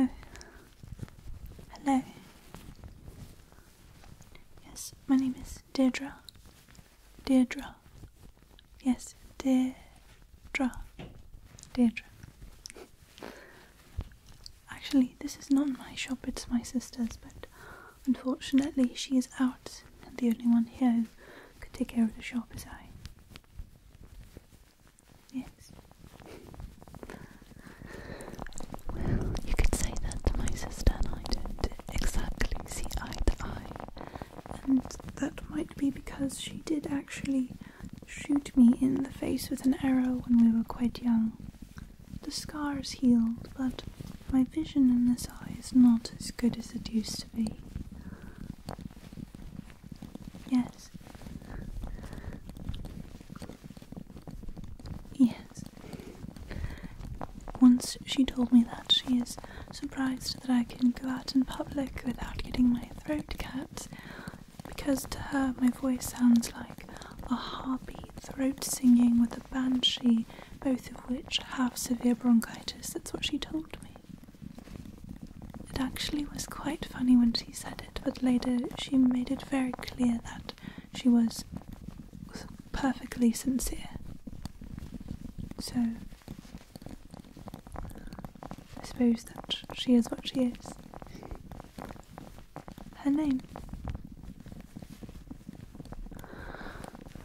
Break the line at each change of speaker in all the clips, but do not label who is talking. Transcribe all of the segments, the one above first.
Oh, hello. Yes, my name is Deirdre. Deirdre. Yes, Deirdre. Deirdre. Actually, this is not my shop, it's my sister's, but Unfortunately, she is out, and the only one here who could take care of the shop is I. Yes. Well, you could say that to my sister and I did exactly see eye to eye. And that might be because she did actually shoot me in the face with an arrow when we were quite young. The scar is healed, but my vision in this eye is not as good as it used to be. Yes. Yes. Once she told me that she is surprised that I can go out in public without getting my throat cut, because to her my voice sounds like a harpy throat singing with a banshee, both of which have severe bronchitis. That's what she told me. It actually was quite funny when she said it, but later she made it very clear that she was perfectly sincere. So, I suppose that she is what she is. Her name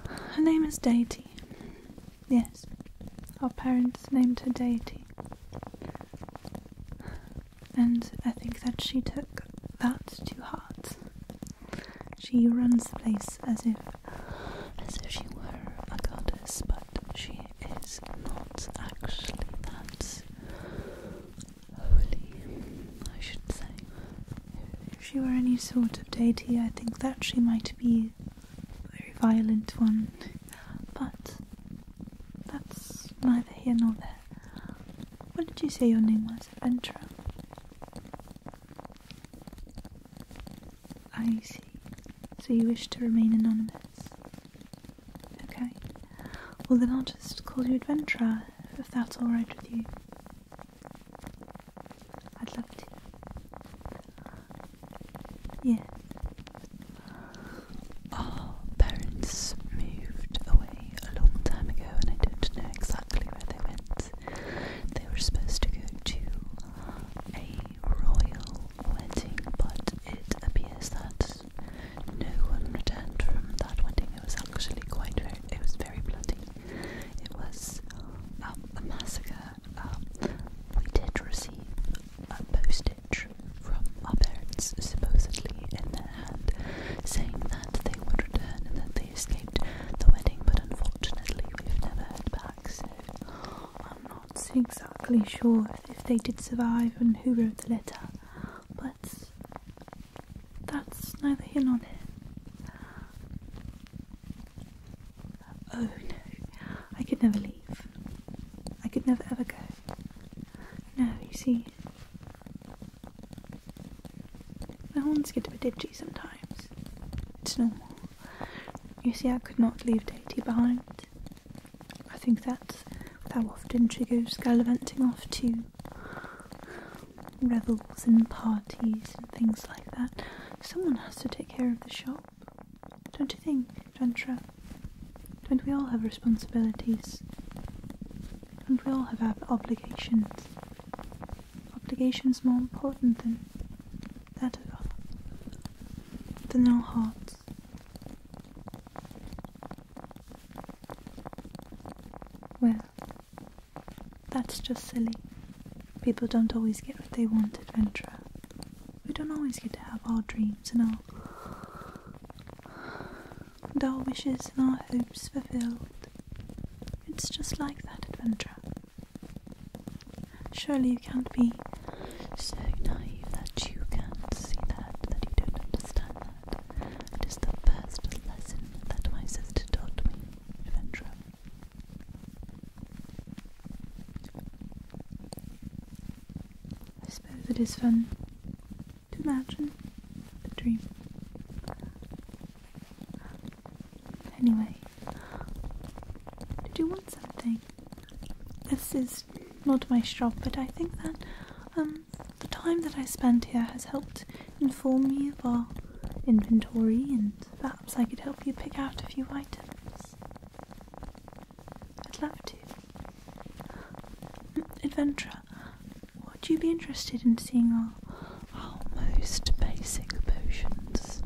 her name is Deity. Yes, our parents named her Deity. And I think that she took that to heart. She runs the place as if
as if she were a goddess, but she is not actually that holy,
I should say. If she were any sort of deity, I think that she might be a very violent one. But that's neither here nor there. What did you say your name was? Ventura? I see. So you wish to remain anonymous? Okay. Well, then I'll just call you Adventurer, if that's alright with you. I'd love to. Yeah. Our oh, parents moved away a long time ago, and I don't know exactly where they went. They
were supposed to go to a royal wedding, but it appears that no one returned from that wedding. It was actually quite very, it was very bloody. It was um, a massacre. Um, we did receive a postage from our parents, supposedly in their hand, saying that they would return and that they escaped the wedding, but
unfortunately we've never heard back, so I'm not exactly sure if they did survive and who wrote the letter, but that's neither here nor there. Oh no, I could never leave. I could never ever go. No, you see, the horns get a bit itchy sometimes. It's normal. You see, I could not leave Dainty behind. I think that's how often she goes gallivanting off too revels and parties and things like that, someone has to take care of the shop. Don't you think, Jantra? Don't we all have responsibilities? Don't we all have our obligations? Obligations more important than that of our, than our hearts. Well, that's just silly. People don't always get what they want, adventurer. We don't always get to have our dreams and our, our wishes and our hopes fulfilled. It's just like that, adventurer. Surely you can't be so naive that you can't see that, that you don't understand that. It is the first lesson that my sister taught me. I suppose it is fun to imagine the dream. Anyway, did you want something? This is not my shop, but I think that um, the time that I spent here has helped inform me of our inventory and perhaps I could help you pick out a few items. I'd love to. Mm, Adventurer, would you be interested in seeing our, our most basic potions?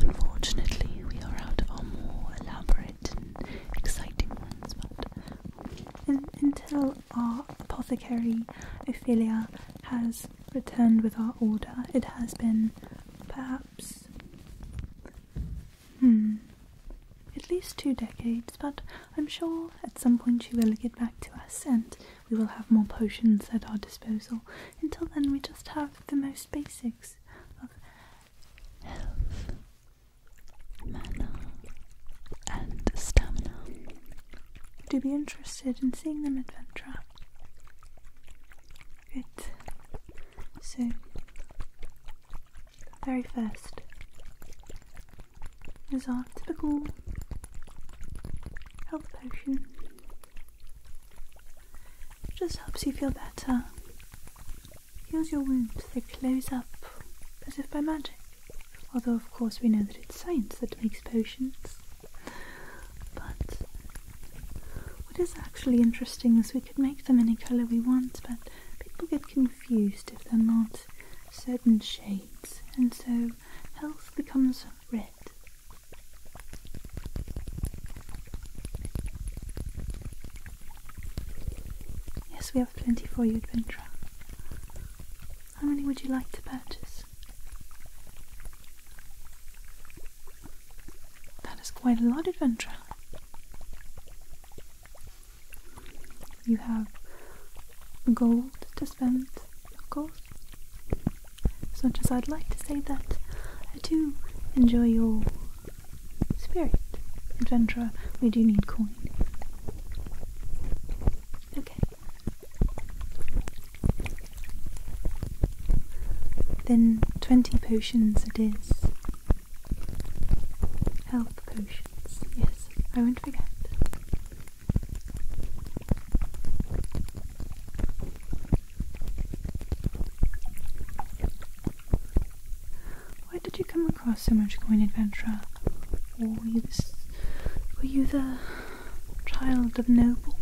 Unfortunately, we are out of our more elaborate and
exciting ones, but in, until our apothecary Ophelia has returned with our order. It has been perhaps hmm, at least two decades, but I'm sure at some point she will get back to us and we will have more potions at our disposal. Until then we just have the most basics of health, mana and stamina. Would you be interested in seeing them adventure, Ventura? Good. So, very first is our typical health potion. just helps you feel better. Heals your wounds, they close up as if by magic. Although, of course, we know that it's science that makes potions. But what is actually interesting is we could make them any colour we want, but people get confused if they're not certain shades, and so health becomes red. Yes, we have plenty for you, adventurer. How many would you like to purchase? That is quite a lot, adventurer. You have gold to spend, of course. As much as I'd like to say that I do enjoy your spirit, adventurer, we do need coin. Okay. Then twenty potions it is. Health potions, yes, I won't forget. Why did you come across so much coin adventurer? were you the child of noble.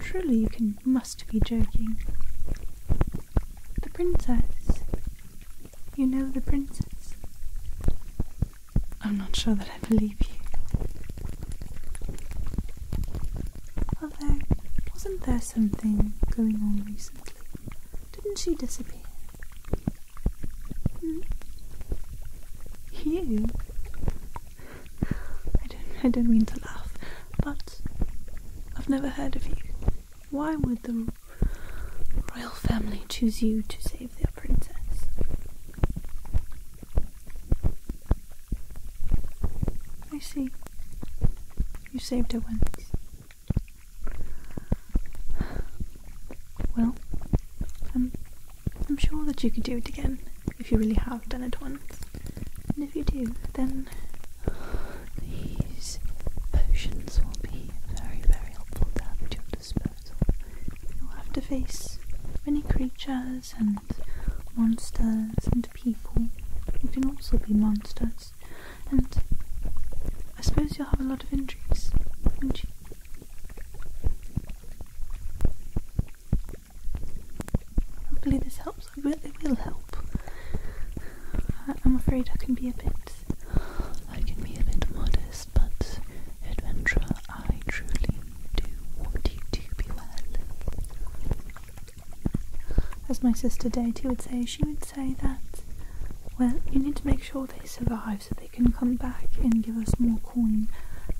Truly you can must be joking. The princess. You know the princess. I'm not sure that I believe you. Although, wasn't there something going on recently? Didn't she disappear? Hmm? You? I don't, I don't mean to laugh, but I've never heard of you. Why would the royal family choose you to save their princess? I see. You saved her once. Well, I'm, I'm sure that you could do it again if you really have done it once. And if you do, then
these potions will be very, very helpful to at your disposal.
You'll have to face many creatures and monsters and people who can also be monsters. And I suppose you'll have a lot of injuries, won't you? Hopefully this helps. I will, it will help. I, am afraid I can be a bit... I can be a bit modest, but adventurer, I truly do want you to be well. As my sister Dainty would say, she would say that, well, you need to make sure they survive so they can come back and give us more coin.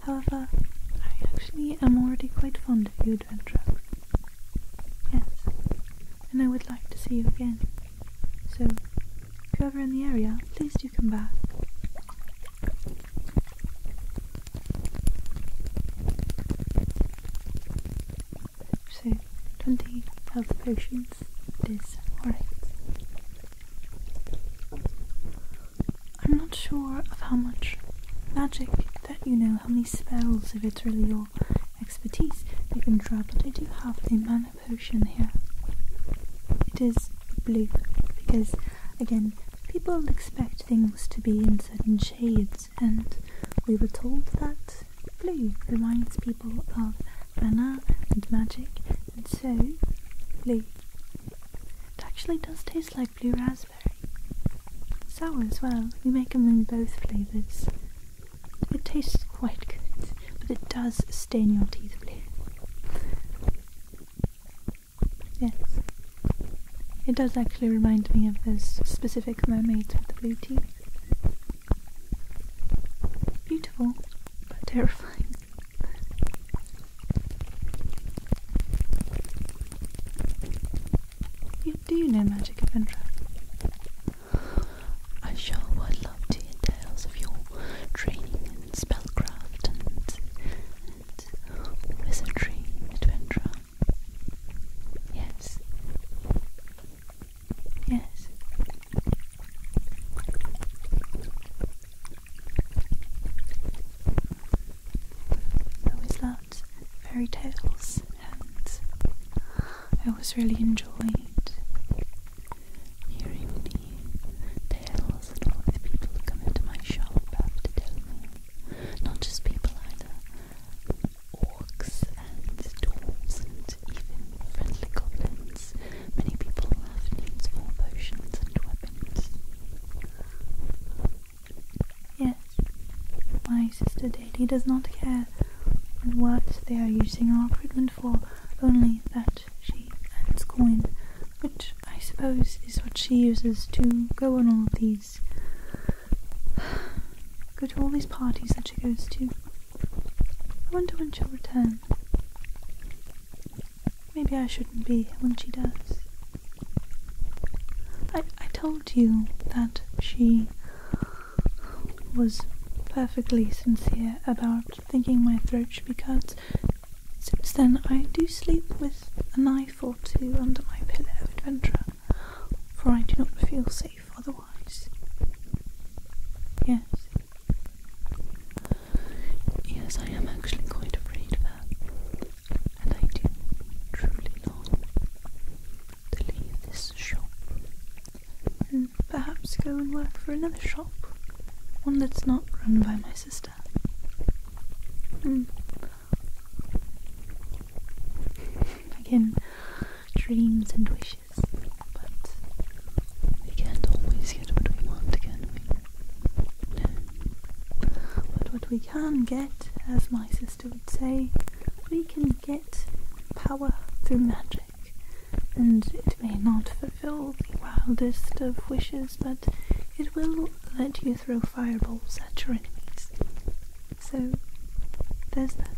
However, I actually am already quite fond of you, Adventurer. Yes, and I would like to see you again. So, if you're ever in the area, please do come back. So 20 health potions is alright. I'm not sure of how much magic that you know, how many spells, if it's really your expertise you can draw, but I do have a mana potion here. It is blue because, again, people expect things to be in certain shades, and we were told that Blue reminds people of banana and magic, and so blue. It actually does taste like blue raspberry. Sour as well, we make them in both flavours. It tastes quite good, but it does stain your teeth blue. Yes. It does actually remind me of those specific mermaids with the blue teeth. Beautiful, but terrifying. You do you know Magic Adventure?
I sure would love tales of your training and spellcraft and, wizardry adventure. Yes.
Yes. I always loved fairy tales and I always really enjoyed hearing the tales
and all the people come into my shop have to me. Not just people either, orcs and dwarves and even friendly goblins.
Many people have names for potions and weapons. Yes, my sister Daisy does not care what they are using our equipment for, only that she earns coin, which I suppose is what she uses to go on all these Go to all these parties that she goes to. I wonder when she'll return. Maybe I shouldn't be when she does. I, I told you that she was perfectly sincere about thinking my throat should be cut. Since then, I do sleep with a knife or two under my pillow, adventurer, for I do not feel safe otherwise. Yes. Yes, I am actually
quite afraid of that. And I do truly long to leave this shop
and perhaps go and work for another shop. One that's not run by my sister. Mm. Again, dreams and wishes. But we can't always get what we want, can we? No. But what we can get, as my sister would say, we can get power through magic. And it may not fulfill the wildest of wishes, but it will let you throw fireballs at your enemies. So, there's that.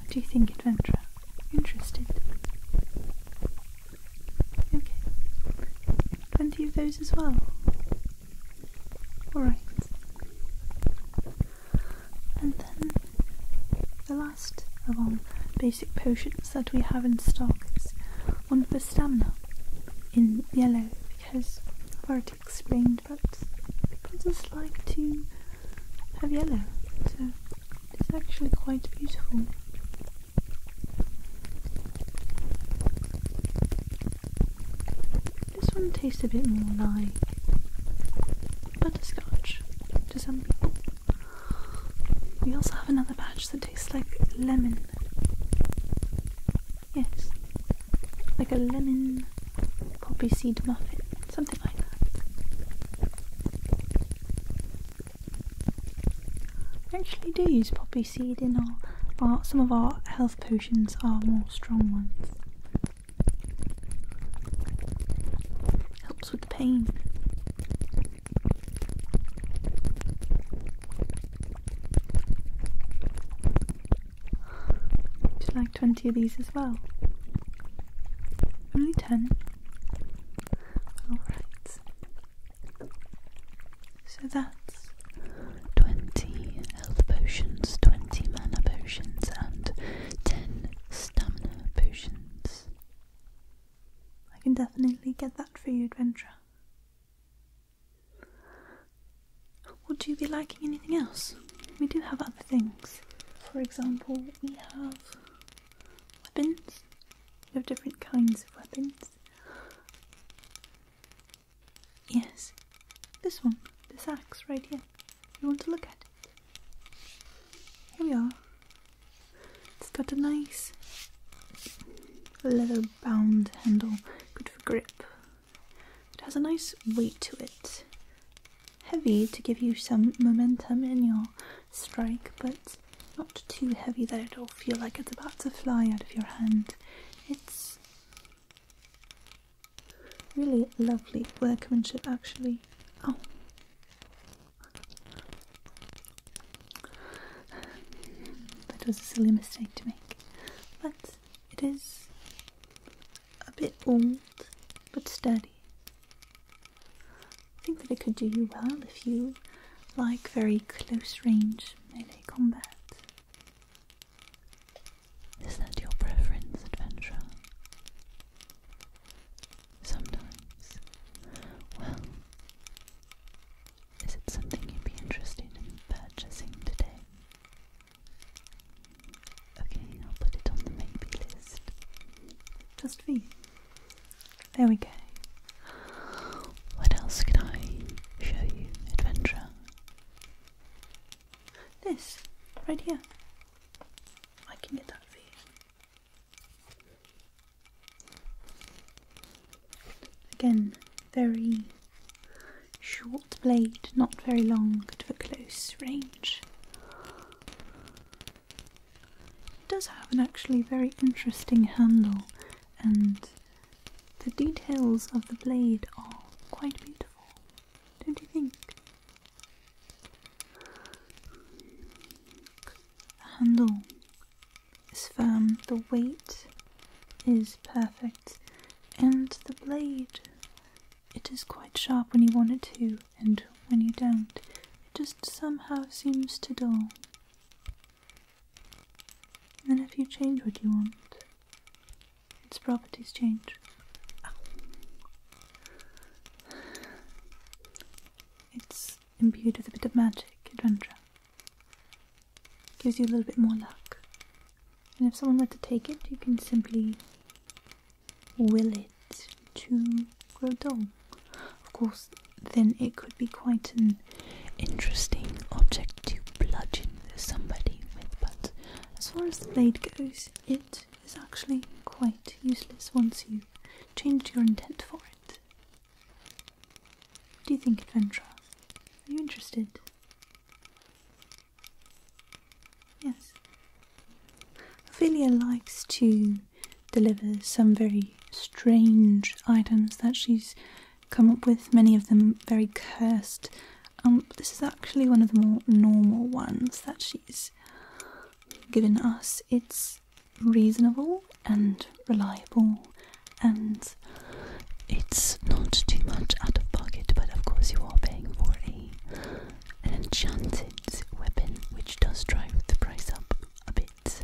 What do you think, adventurer? Interested? Okay. Twenty of those as well. Alright. And then the last of our basic potions that we have in stock is one for stamina in yellow because I've already explained but just like to have yellow so it's actually quite beautiful. This one tastes a bit more like butterscotch to some people. We also have another batch that tastes like lemon. Yes, like a lemon poppy seed muffin, something like that. We actually do use poppy seed in our, our some of our health potions are more strong ones. Helps with the pain like 20 of these as well? Only 10? So that's
20 health potions, 20 mana potions, and 10
stamina potions. I can definitely get that for you, adventurer. Would you be liking anything else? We do have other things. For example, we have weapons. We have different kinds of weapons. Yes, this one, this axe right here. You want to look at it? Here we are. It's got a nice leather bound handle, good for grip. It has a nice weight to it. Heavy to give you some momentum in your strike, but not too heavy that it'll feel like it's about to fly out of your hand. It's really lovely workmanship actually. Oh. That was a silly mistake to make. But it is a bit old, but sturdy. I think that it could do you well if you like very close range melee combat. Is that your preference, adventurer? Sometimes. Well, is it something you'd be interested in purchasing today? Okay, I'll put it on the maybe list. Just for There we go. What else can I show you, adventurer? This, right here. I can get that for you. Again, very short blade, not very long to a close range. It does have an actually very interesting handle, and the details of the blade are quite beautiful, don't you think? handle it's firm, the weight is perfect, and the blade. It is quite sharp when you want it to, and when you don't, it just somehow seems to dull. And if you change what you want, its properties change. It's imbued with a bit of magic, adventure, gives you a little bit more luck. And if someone were to take it, you can simply will it to grow dull. Of course, then it could be quite an interesting object to bludgeon somebody with, but as far as the blade goes, it is actually quite useless once you change your intent for it. What do you think, Adventurer? Are you interested? Yes. Ophelia likes to deliver some very strange items that she's come up with, many of them very cursed. Um, this is actually one of the more normal ones that she's given us. It's reasonable and reliable, and
it's not too much out of pocket, but of course, you are paying for an enchanted weapon, which does drive the price up a bit.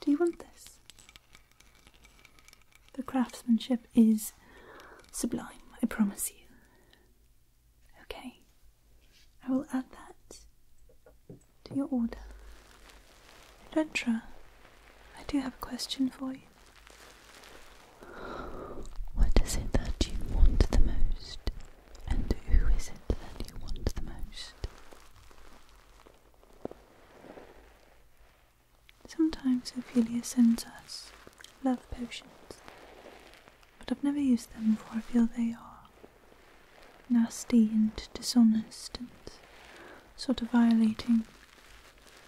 Do you want this? The craftsmanship is sublime, I promise you. Okay, I will add that to your order. Adventurer, I do have a question for you. What is it that you want the most? And who is it that you want the most? Sometimes Ophelia sends us love potions, but I've never used them before. I feel they are nasty and dishonest and sort of violating.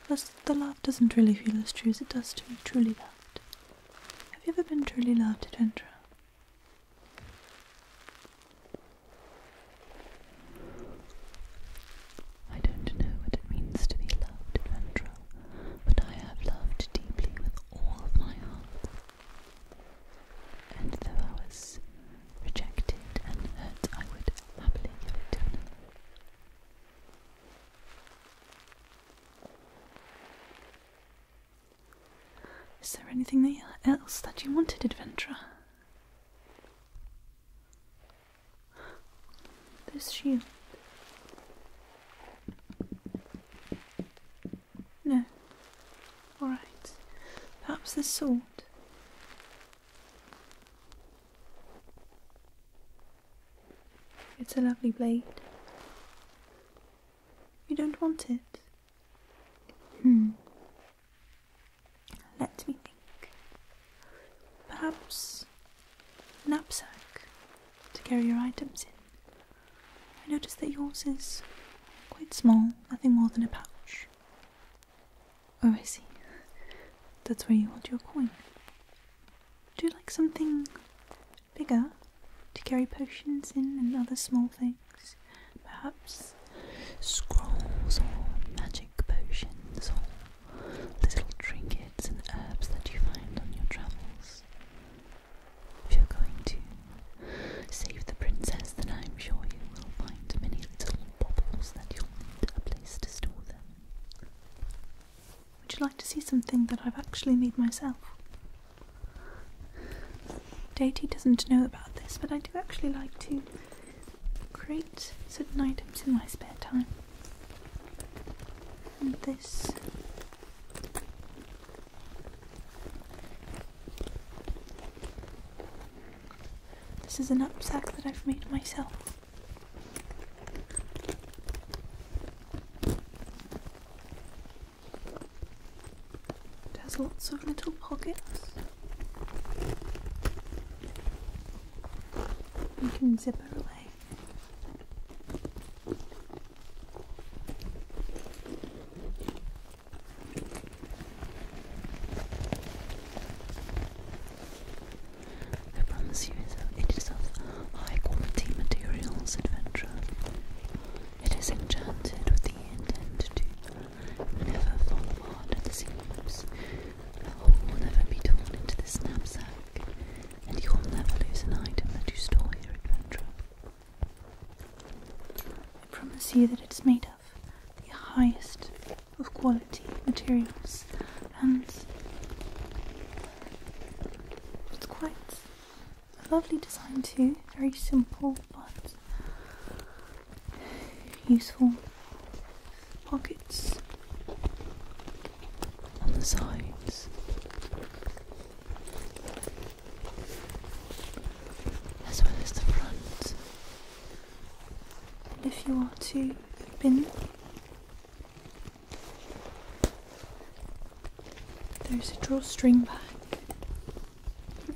Plus, the love doesn't really feel as true as it does to be truly loved. Have you ever been truly loved, Adventurer? I don't know what it means to be loved, Adventurer, but I have loved deeply with all of my heart. And though I rejected and I would happily give it to another. Is there anything else that you wanted, adventurer? This shield. No. All right. Perhaps the sword. It's a lovely blade. You don't want it? Hmm. Let me think. Perhaps a knapsack to carry your items in. I notice that yours is quite small, nothing more than a pouch. Oh, I see. That's where you hold your coin. Do you like something bigger to carry potions in and other small things? Perhaps scrolls or magic potions or little
trinkets and herbs that you find on your travels. If you're going to Save the princess, then I am sure you will find many little bubbles
that you'll need a place to store them. Would you like to see something that I've actually made myself? Deity doesn't know about this, but I do actually like to create certain items in my spare time. this this is an knapsack that I've made myself. It has lots of little pockets. You can zip it away.
I promise you it is of high quality materials, adventurer. It is enchanted with the intent to never fall apart at the seams. The oh, hole will never be torn into this knapsack, and you will never lose an item
that you store here, adventurer. I promise you that it's made the highest of quality materials and it's quite a lovely design too, very simple but useful pockets
on the sides.
As well as the front, if you are to open, there's a drawstring back.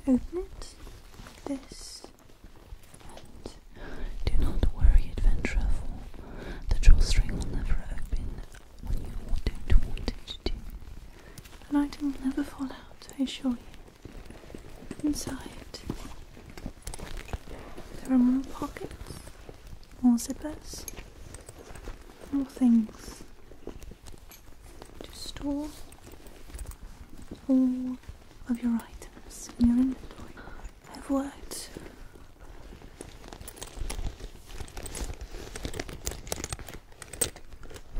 Open it like this. do not worry, adventurer, for the drawstring will never open when you don't want it to. An item will never fall out, I assure you. Inside, there are more pockets, more zippers, more things to store all of your items in the toy. I've worked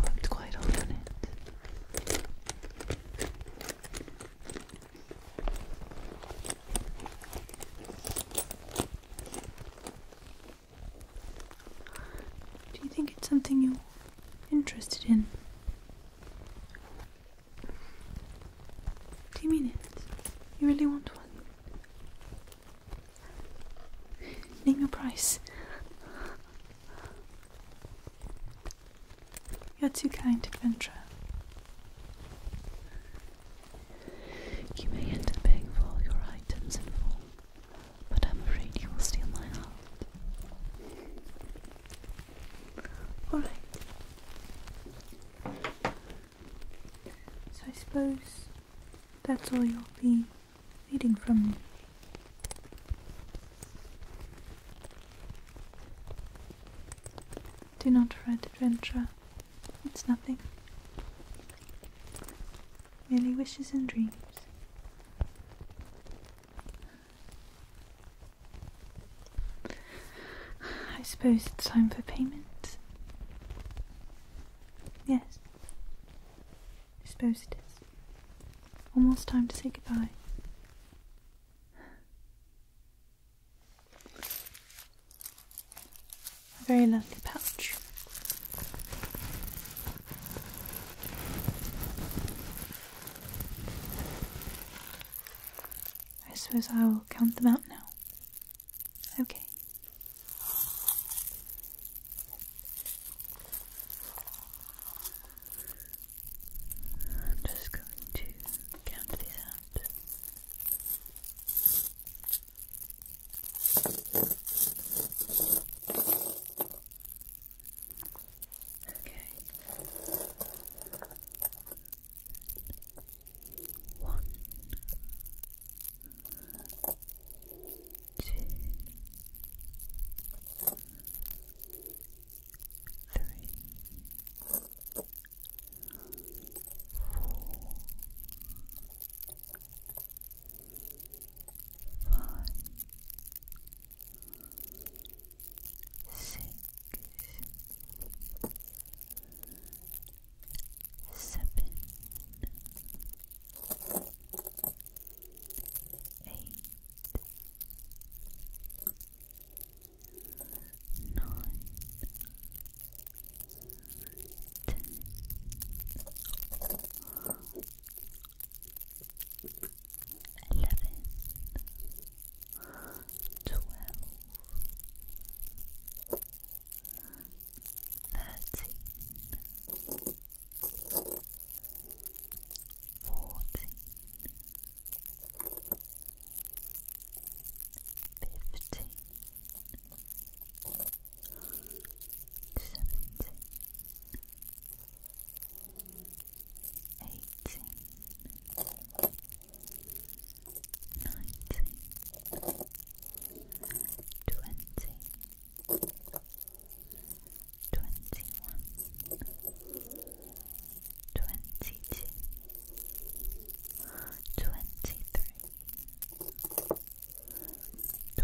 worked quite hard on it. Do you think it's something you're interested in? Do you mean it? You really want one? Name your price. You're too kind, adventurer. You may end up paying for all your items in full, but I'm afraid you will steal my heart. Alright. So I suppose that's all you'll be needing from me. Do not write adventure. It's nothing. Merely wishes and dreams. I suppose it's time for payment. Yes. I suppose it is. Almost time to say goodbye. A very lovely pouch. I suppose I will count them out now. Okay. I'm just going to count these out. Okay. One, two, three, four, five, six, seven, eight nine, ten, eleven, twelve, thirteen, fourteen fifteen, seventeen, eighteen, nineteen, twenty. 21 twenty-one, twenty-two, twenty-three, twenty-four, twenty-five, twenty-six,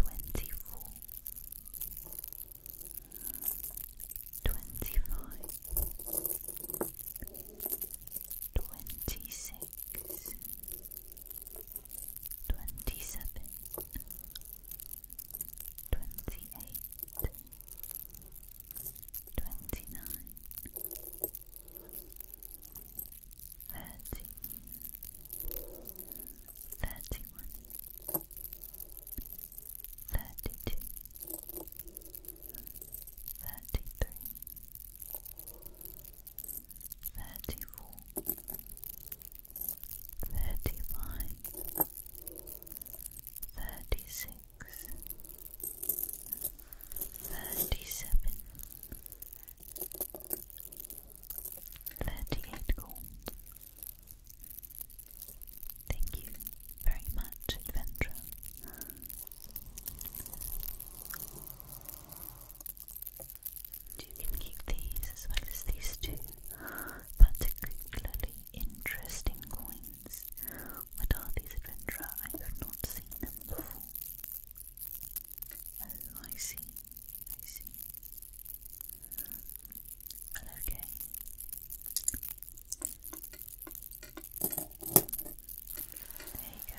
twenty-seven, twenty-eight twenty-nine, thirty, thirty-one, thirty-two, thirty-three, thirty-four, thirty-five. 36 36 37 38 gold. Thank you very much, adventurer. You can keep these as well as these two, particularly interesting coins. What are these, adventurer? I have not seen them before. Oh, I see. I see. okay. There you go.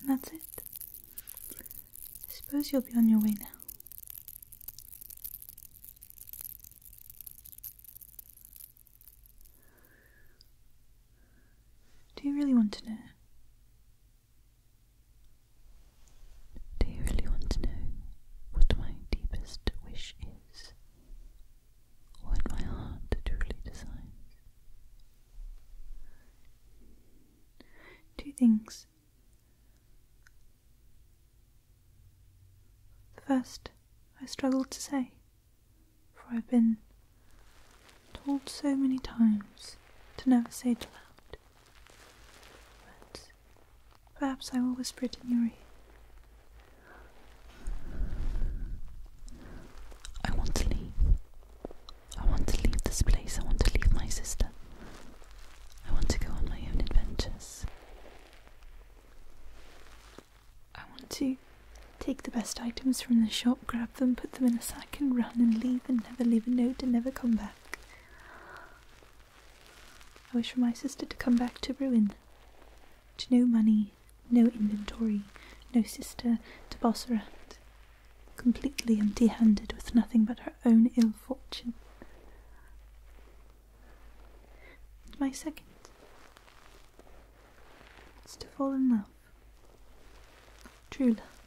And that's it. I suppose you'll be on your way now. Do you really want to know? Do you really want to know what my deepest wish is? what my heart truly desires. Two things. The first I struggle to say, for I've been told so many times to never say it aloud. But perhaps I will whisper it in your ear.
I want to leave. I want to leave this place. I want to leave my sister. I want to go on my own adventures.
I want to take the best items from the shop, grab them, put them in a sack, and run and leave and never leave a note and never come back. I wish for my sister to come back to Ruin to no money, no inventory, no sister to boss her completely empty handed with nothing but her own ill fortune. my second is to fall in love. True love.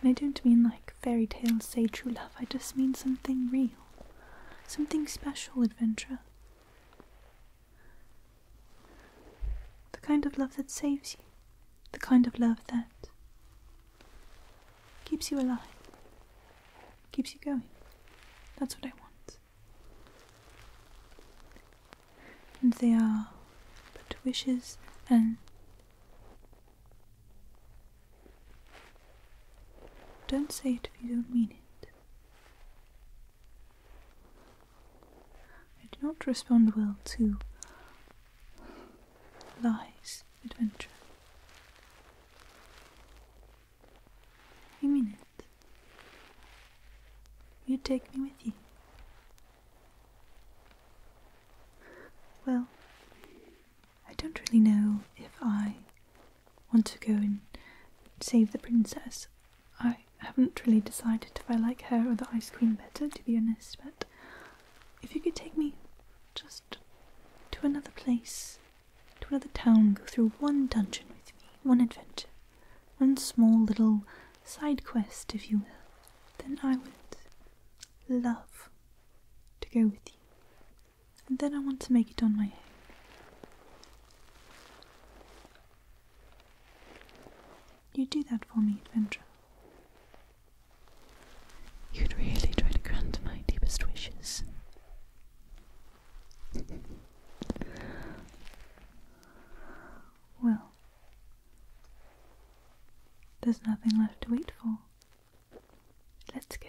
And I don't mean like fairy tales say true love, I just mean something real, something special, adventurer. The kind of love that saves you. The kind of love that keeps you alive, keeps you going. That's what I want. And they are but wishes and don't say it if you don't mean it. I do not respond well to lies, adventure. You mean it? You take me with you. Well, I don't really know if I want to go and save the princess. I haven't really decided if I like her or the ice cream better, to be honest, but if you could take me just to another place, to another town, go through one dungeon with me, one adventure, one small little side quest, if you will, then I would love to go with you. And then I want to make it on my own. You do that for me, Adventurer.
You'd really try to grant my deepest wishes.
well, there's nothing left to wait for. Let's go.